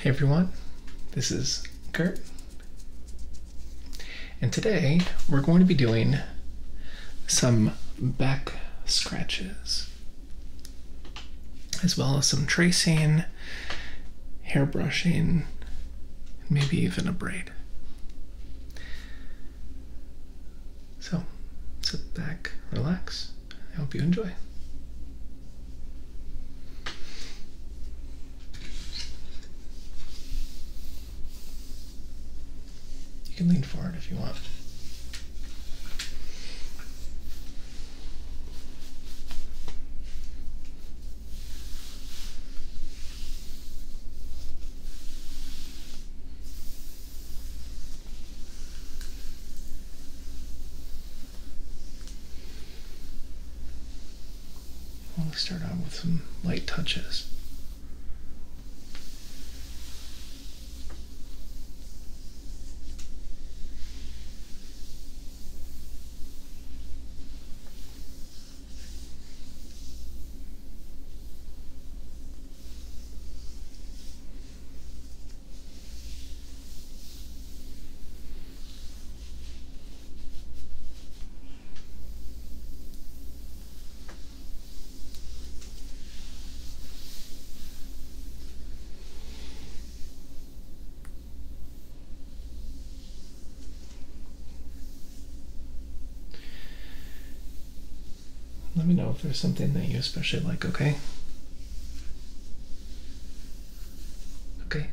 Hey everyone, this is Kurt, and today we're going to be doing some back scratches as well as some tracing, hair brushing, maybe even a braid. So sit back, relax, I hope you enjoy. You can lean forward if you want let's start out with some light touches. Let me know if there's something that you especially like, okay? Okay.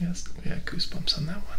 Yes, had goosebumps on that one.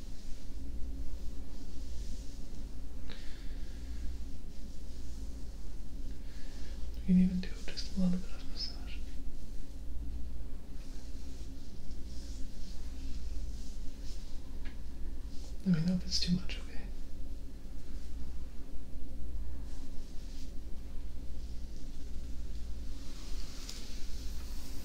You can even do just a little bit of massage. Let me know if it's too much, okay?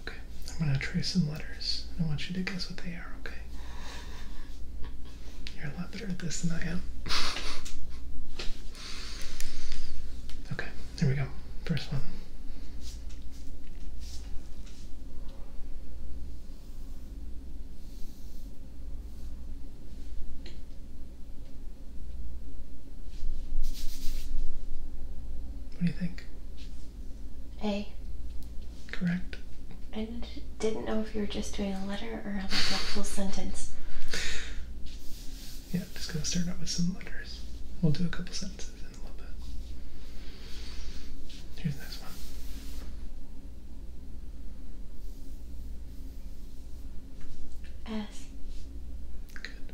Okay, I'm going to trace some letters. I want you to guess what they are, okay? You're a lot better at this than I am. Okay, here we go. First one. What do you think? A correct? I didn't know if you were just doing a letter or like a full sentence. Yeah, just gonna start out with some letters. We'll do a couple sentences in a little bit. Here's the next one. S. Good.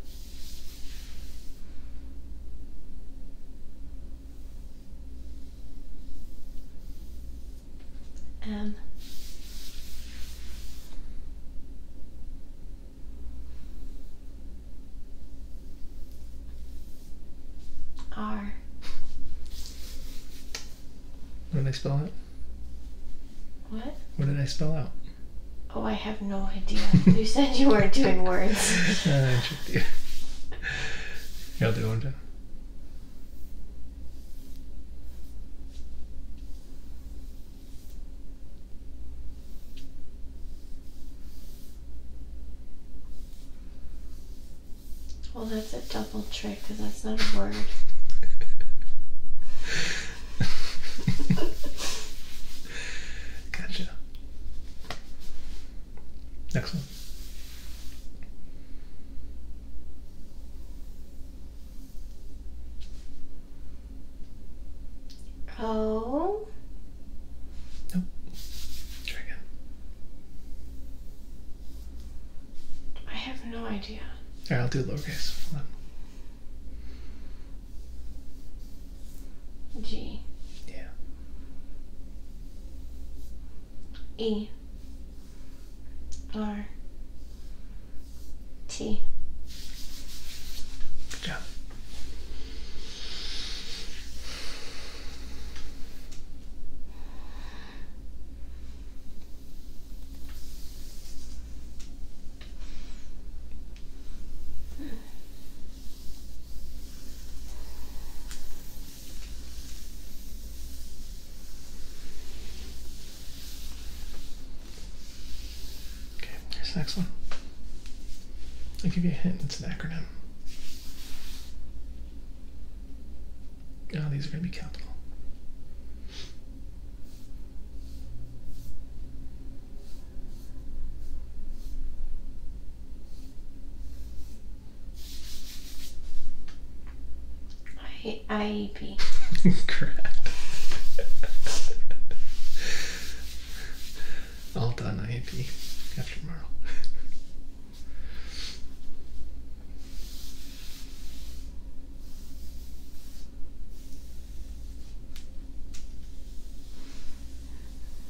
M um, R. What did I spell out? What? What did I spell out? Oh, I have no idea. you said you weren't doing words. uh, I tricked you. You'll do one, time. Well, that's a double trick because that's not a word. gotcha. Excellent. Oh. Nope. Try again. I have no idea. right, I'll do lowercase. G. Yeah. E R T. Good Okay, here's next one. I'll give you a hint, it's an acronym. Now ah, these are going to be capital. I IEP. Crap. All done IEP after tomorrow.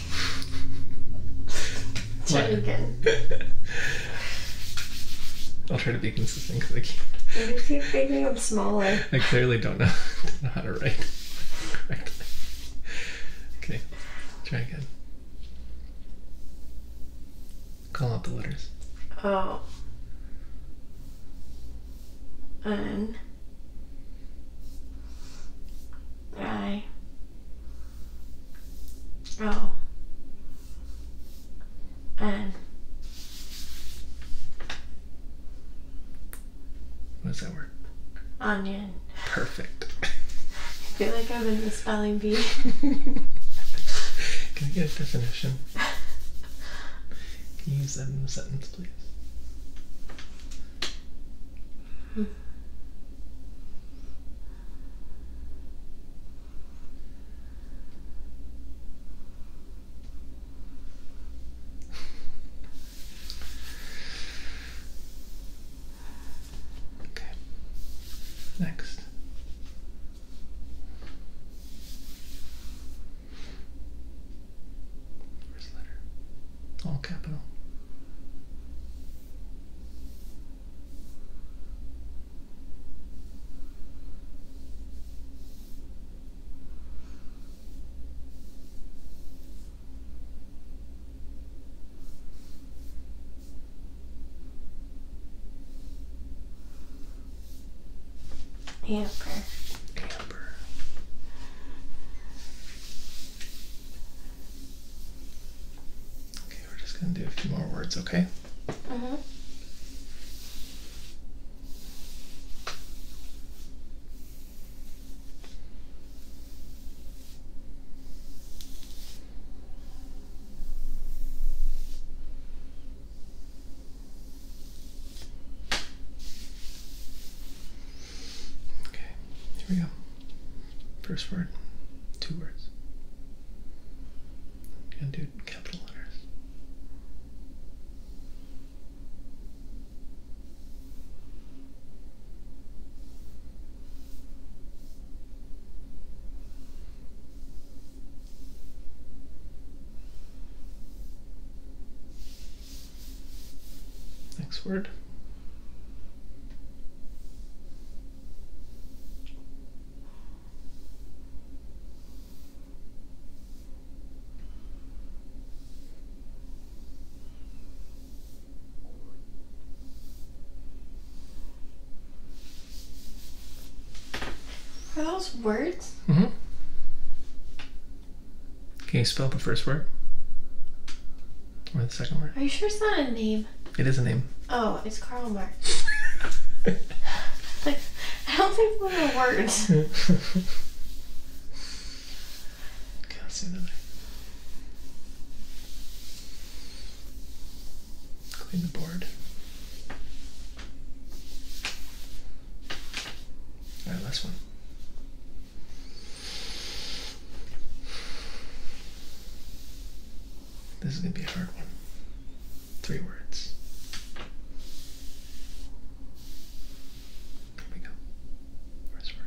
Try again. I'll try to be consistent because I can't. You keep making them smaller. I clearly don't know, how to write Okay, try again. Call out the letters. Oh. N. I. Oh. And. What's that word? Onion. Perfect. I feel like I'm in the spelling bee. Can I get a definition? Can you use that in a sentence, please? Okay. Next. First letter. All capital. Amber. Amber. Okay, we're just going to do a few more words, okay? Uh mm-hmm. huh. Okay, here we go. First word, two words. And do capital letters. Next word, are those words? Mm-hmm. Can you spell the first word? Or the second word? Are you sure it's not a name? It is a name. Oh, it's Karl Marx. I don't think those are words. okay, i see the board. Alright, last one. This is going to be a hard one. Three words. Here we go. First word.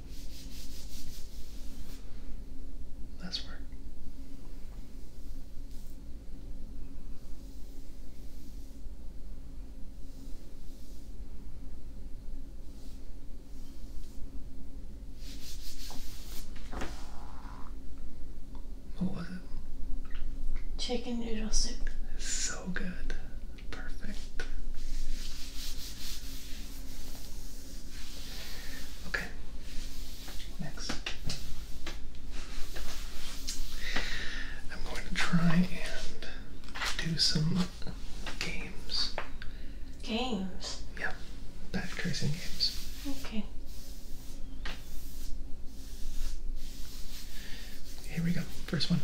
That's word. What was it? Chicken noodle soup. It's so good. Perfect. Okay. Next. I'm going to try and do some games. Games? Yeah. bad tracing games. Okay. Here we go. First one.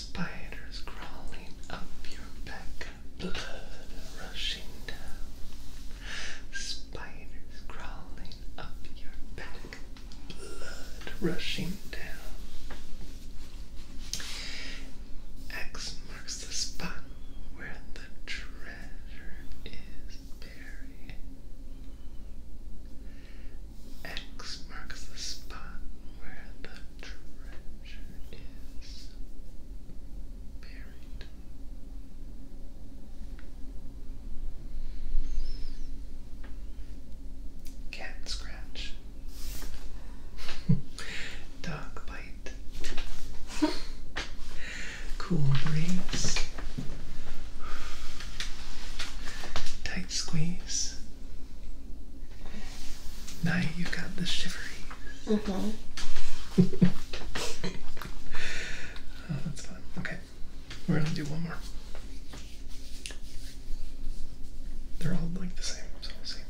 Spiders crawling up your back, blood rushing down. Spiders crawling up your back, blood rushing down. X marks the spot where the treasure is buried. X marks the spot where the treasure is buried. Cat scratch. Dog bite. cool breeze. Tight squeeze. Now you got the shivery. Mm -hmm. that's fun. Okay, we're gonna do one more. They're all like the same, so we'll see.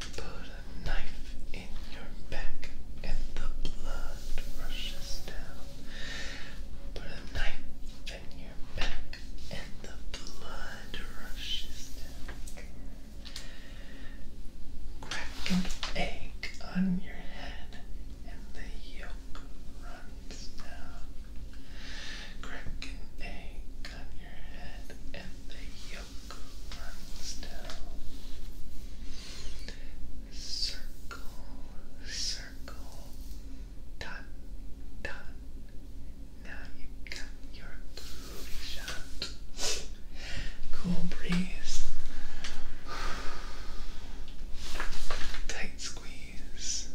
Put a knife in your back and the blood rushes down. Put a knife and the blood rushes down. Crack an egg on your head and the yolk runs down. Crack an egg on your head and the yolk runs down. Circle, circle, done, done. Now you got your booty shot. Cool breeze. Tight squeeze.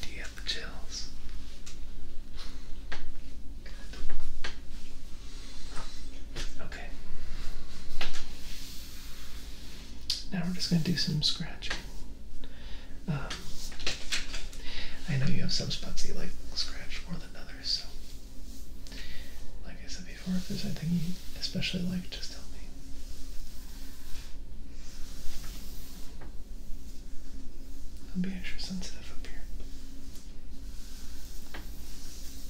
Do chills? Okay. Now we're just going to do some scratching. Um, I know you have some spots you like scratch more than others, so like I said before, if there's anything you especially like, just tell me. I'll be extra sensitive up here.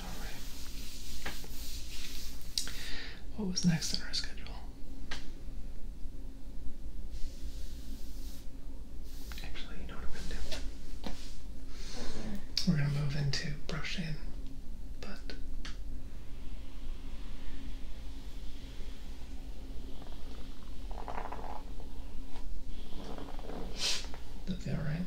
All right. What was next on our schedule? Actually, you know what I'm gonna do. We're gonna move into brushing but that right.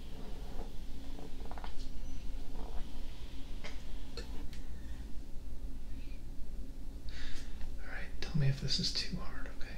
Alright, tell me if this is too hard, okay?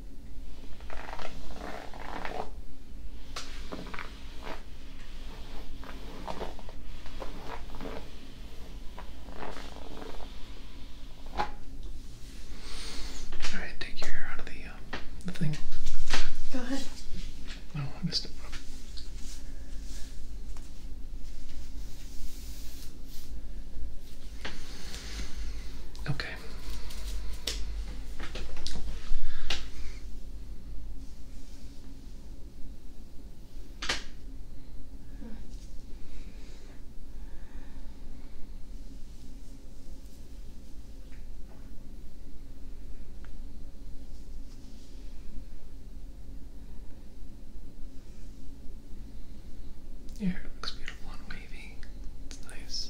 All right, take your hair out of the, uh, the thing. Go ahead. No, oh, I missed it. Okay. Your hair looks beautiful and wavy. It's nice.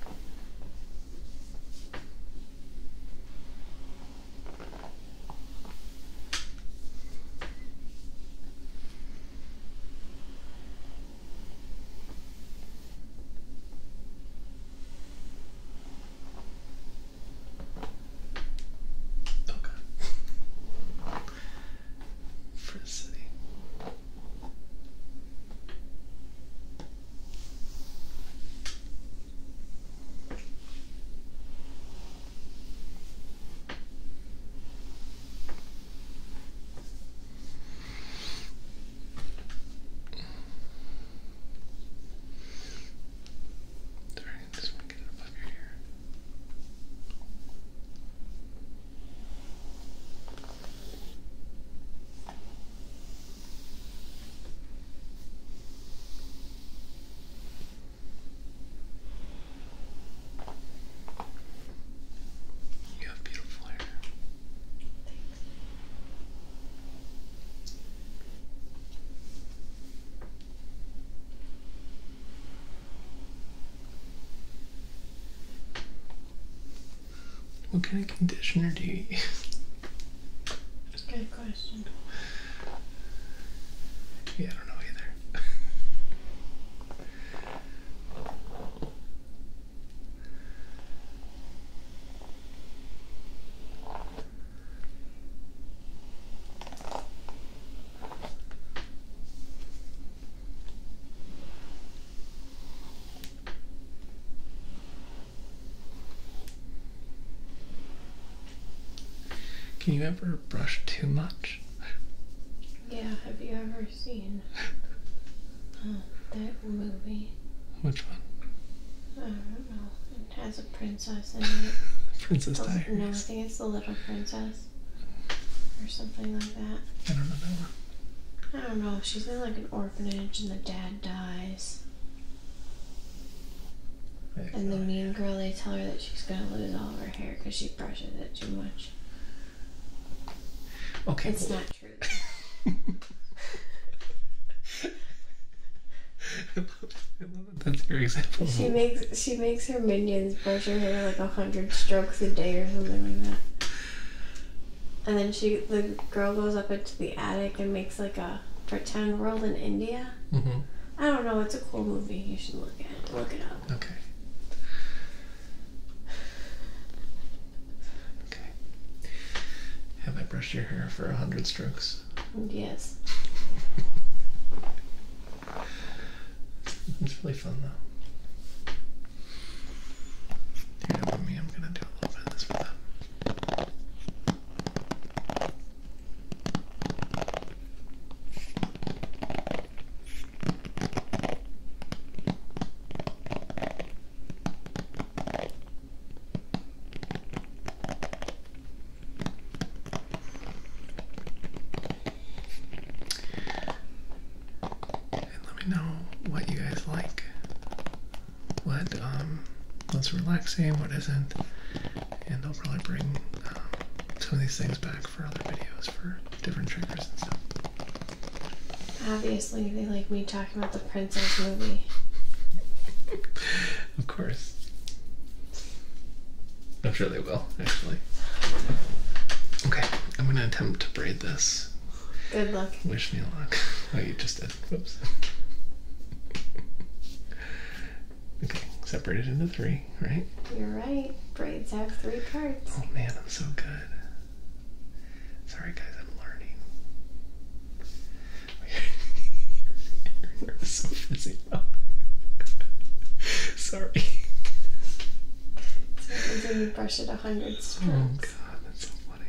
Okay. For the city. Sorry, this one get it above your ear. You have beautiful hair. What kind of conditioner do you use? Good question. Yeah, I don't know either. Can you ever brush too much? Yeah, have you ever seen uh, that movie? Which one? I don't know. It has a princess in it. princess Diaries. No, I think it's The Little Princess or something like that. I don't know I don't know. She's in like an orphanage and the dad dies. And the mean girl, they tell her that she's gonna lose all her hair because she brushes it too much. Okay. It's not true. That's your example. She makes she makes her minions brush her hair like a hundred strokes a day or something like that. And then she, the girl goes up into the attic and makes like a pretend world in India. Mm-hmm. I don't know. It's a cool movie. You should look at it. Look it up. Okay. Okay. Have I brushed your hair for a hundred strokes? Yes. it's really fun though. You know me, I'm gonna do a little bit of this with them let me know what you guys like. What um, what's relaxing, what isn't, and I'll probably bring um, some of these things back for other videos for different triggers and stuff. Obviously, they like me talking about the princess movie. of course. I'm sure they will, actually. Okay, I'm gonna attempt to braid this Good luck. Wish me luck. Oh, you just did. Whoops. okay, separated into three, right? You're right. Braids have three parts. Oh man, I'm so good. Sorry, guys, I'm learning. Your nerves so frizzy now. Sorry. So you brush it a hundred times. Oh god, that's so funny.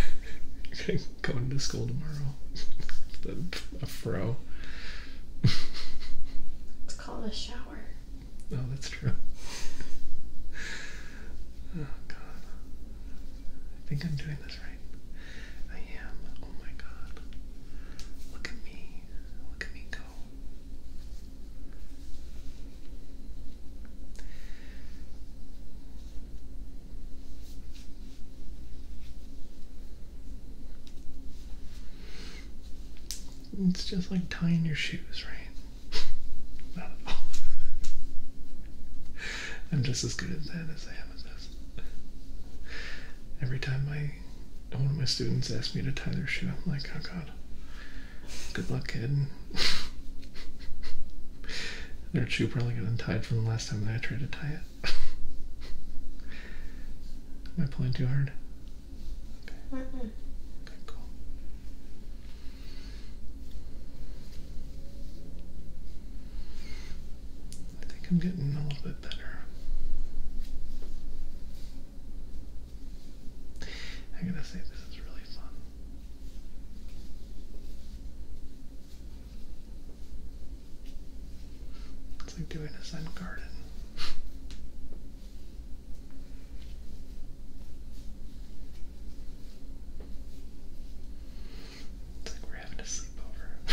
Going to school tomorrow. a fro. call it a shower. oh, that's true. Oh god. I think I'm doing this right. I am. Oh my god. Look at me. Look at me go. It's just like tying your shoes, right? Not I'm just as good at that as I am at this. Every time my one of my students asks me to tie their shoe, I'm like, oh god, Good luck, kid. Their shoe probably got untied from the last time that I tried to tie it. Am I pulling too hard? Okay, cool. I think I'm getting a little bit better. I gotta say, this is really fun. It's like doing a sun garden. It's like we're having a sleepover.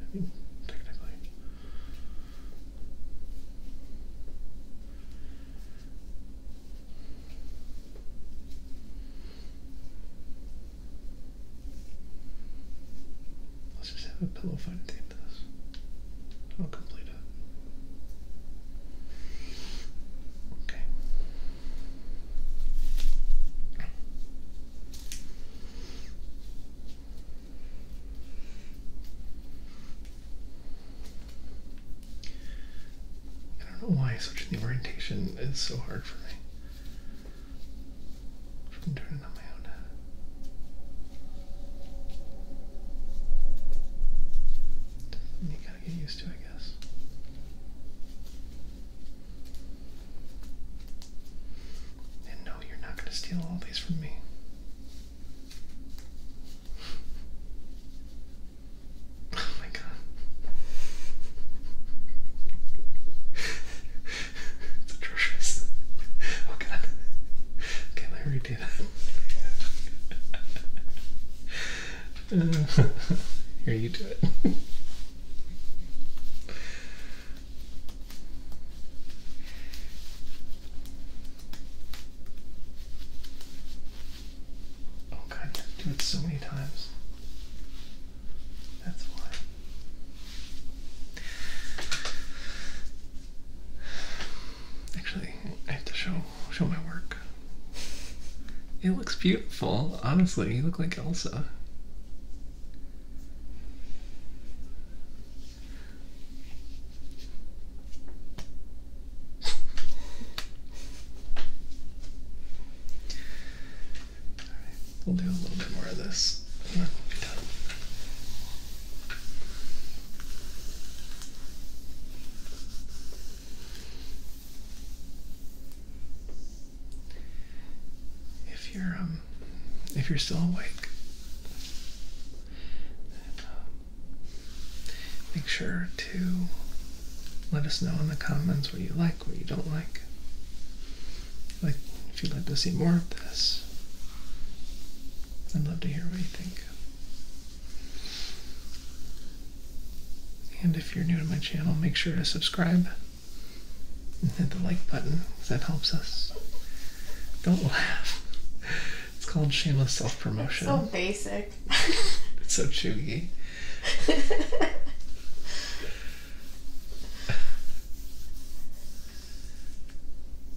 I mean, technically. Let's just have a pillow fight at the end this. I'll complete it. Okay. I don't know why switching the orientation is so hard for me. From doing it on my own. You gotta get used to, I guess. And no, you're not gonna steal all these from me. Oh my god. it's atrocious. Oh god. Can I redo that? here, you do it. Oh god, you do it so many times. That's why. Actually, I have to show show my work. It looks beautiful, honestly. You look like Elsa right, we'll do a little bit more of this, and then we'll be done. If you're um, if you're still awake, uh, Make sure to let us know in the comments what you like, what you don't like. Like if you'd like to see more of this. I'd love to hear what you think. And if you're new to my channel, make sure to subscribe and hit the like button. That helps us. Don't laugh. It's called shameless self promotion. so basic. it's so chewy.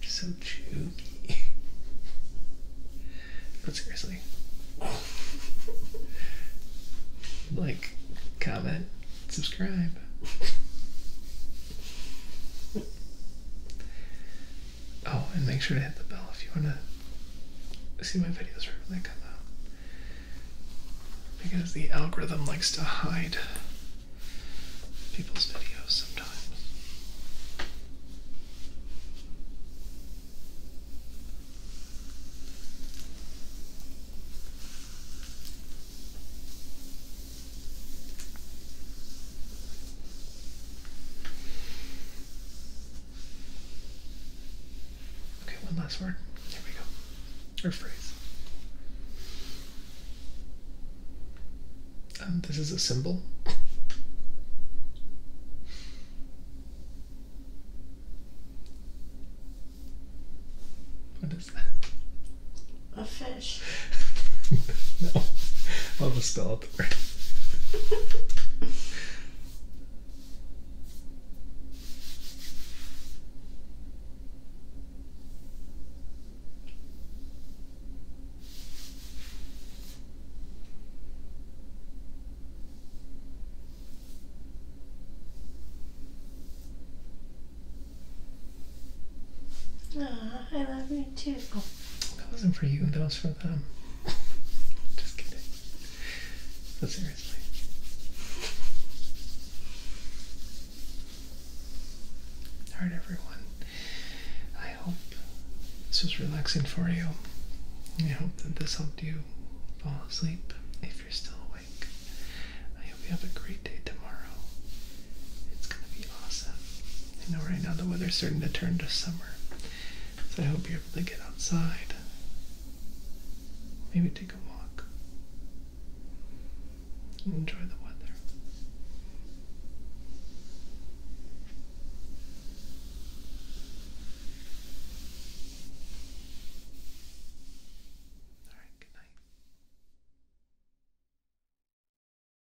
so chewy. But seriously. like, comment, subscribe. Oh, and make sure to hit the bell if you want to see my videos right when they come out. Because the algorithm likes to hide people's videos sometimes. Okay, one last word. Here we go. Or phrase. Um, this is a symbol. What is that? A fish no, I'll just spell Ah, I love you too. That wasn't for you, that was for them. Just kidding. But seriously. Alright, everyone. I hope this was relaxing for you. I hope that this helped you fall asleep if you're still awake. I hope you have a great day tomorrow. It's going to be awesome. You know right now the weather's starting to turn to summer. So I hope you're able to get outside. Maybe take a walk. Enjoy the weather. All right, good night.